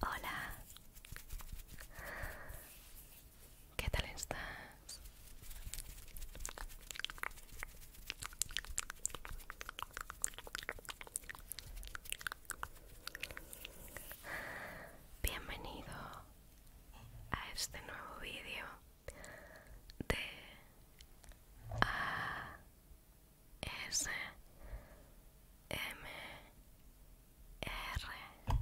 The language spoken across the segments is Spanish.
Hola, ¿qué tal estás? Bienvenido a este nuevo vídeo D A S M R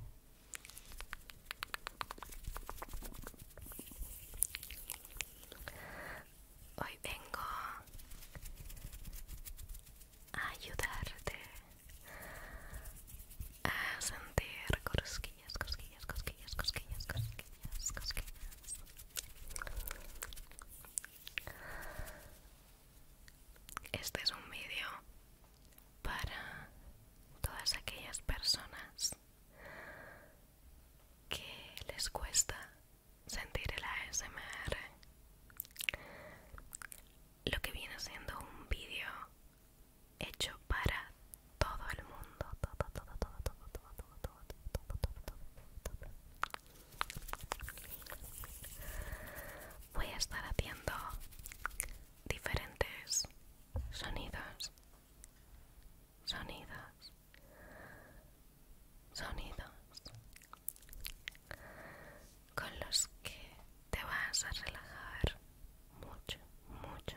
Hoy vengo a ayudarte a sentir cosquillas, cosquillas, cosquillas, cosquillas, cosquillas, Este es un vídeo para todas aquellas personas que les cuesta sentir el ASMR. Lo que viene siendo un vídeo hecho para todo el mundo. Todo, todo, todo, todo, todo, todo, todo, todo, todo, todo, todo. Voy a estar haciendo diferentes sonidos, sonidos, sonidos con los que te vas a relajar mucho, mucho,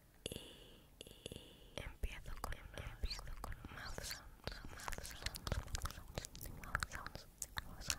y, empiezo con empiezo con mouth sounds, mouth sounds, mouth sounds,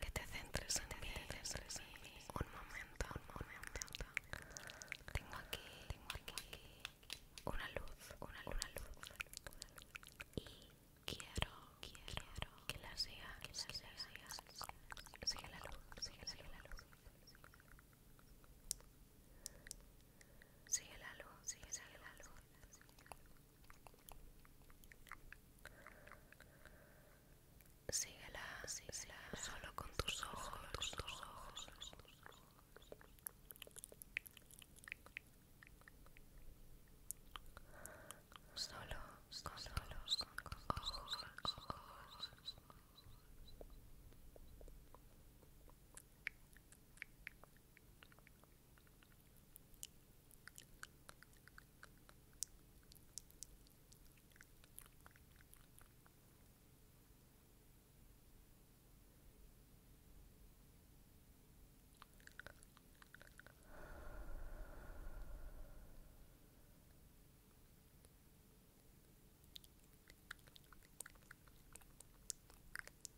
que te centres en el te centres Un momento, un momento. Tengo aquí, tengo aquí una luz, una luz, una luz. Y quiero, quiero que la siga, que la siga, Sigue la luz, sigue la luz, la luz. Sigue la luz, sigue, sigue la luz síguela, síguela solo con tus ojos, tus ojos. Solo, solo, solo, ojos, ojos.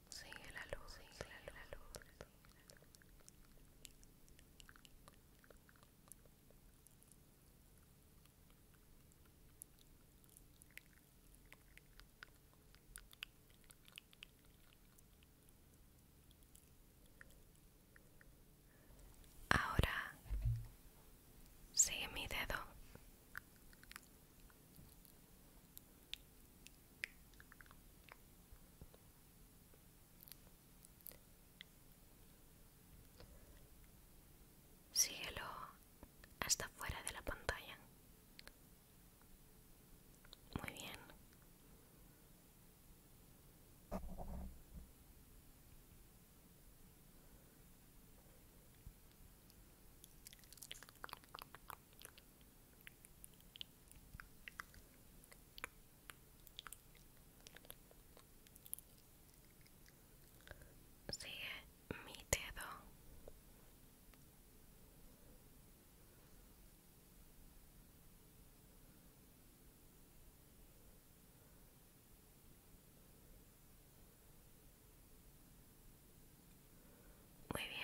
Sigue la luz, sigue la luz, la luz. Ahora sigue mi dedo. Síguelo hasta fuera de la pantalla. Muy bien sigue mi dedo muy bien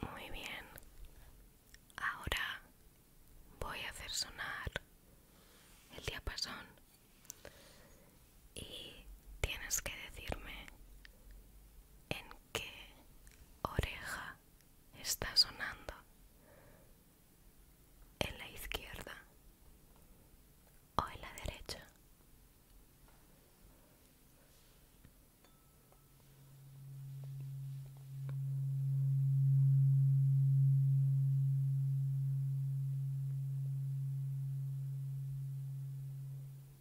muy bien, ahora voy a hacer sonar el diapasón y tienes que decirme en qué oreja está sonando. ¿En la izquierda o en la derecha?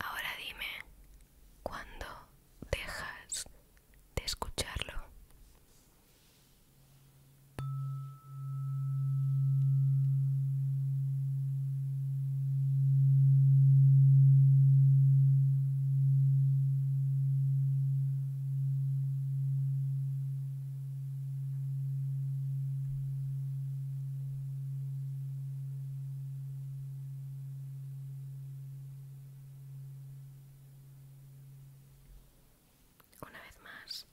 Ahora dime, ¿cuándo dejas de escucharlo? Una vez más.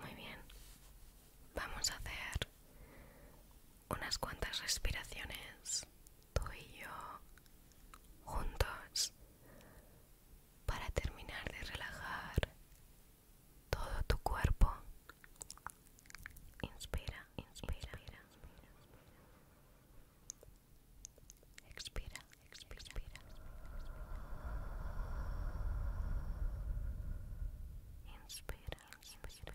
Muy bien, vamos a hacer unas cuantas respiraciones tú y yo juntos para terminar de relajar todo tu cuerpo. Inspira, inspira, Expira, expira, expira. Inspira, Expira, expira.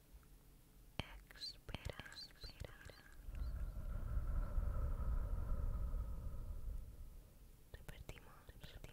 Espera, expira. Repetimos, repetimos. Exhala.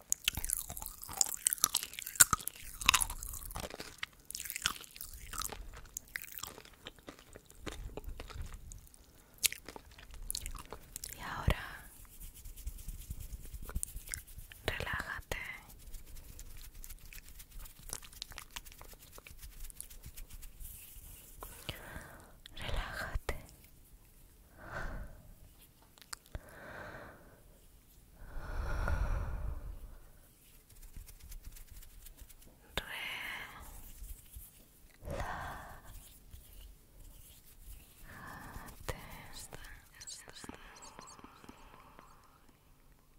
Y ahora relájate. Relájate relajado, relajado.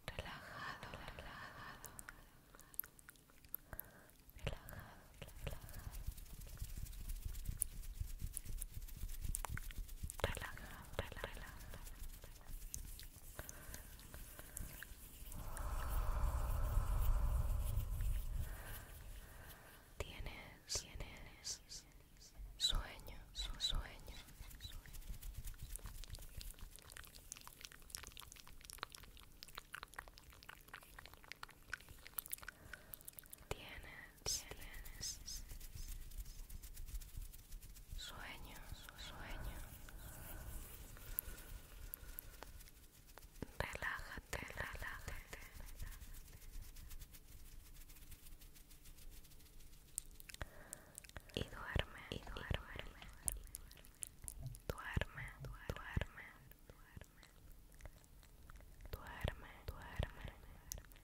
Relajado, relajado. Relajado. Tiene relaja. Tienes, sueños sueño, sueños sueño. Tienes Sueños, sueño, sueño. Relájate, relájate. Y duerme, y duerme. Duerme, duerme, duerme. Duerme, duerme.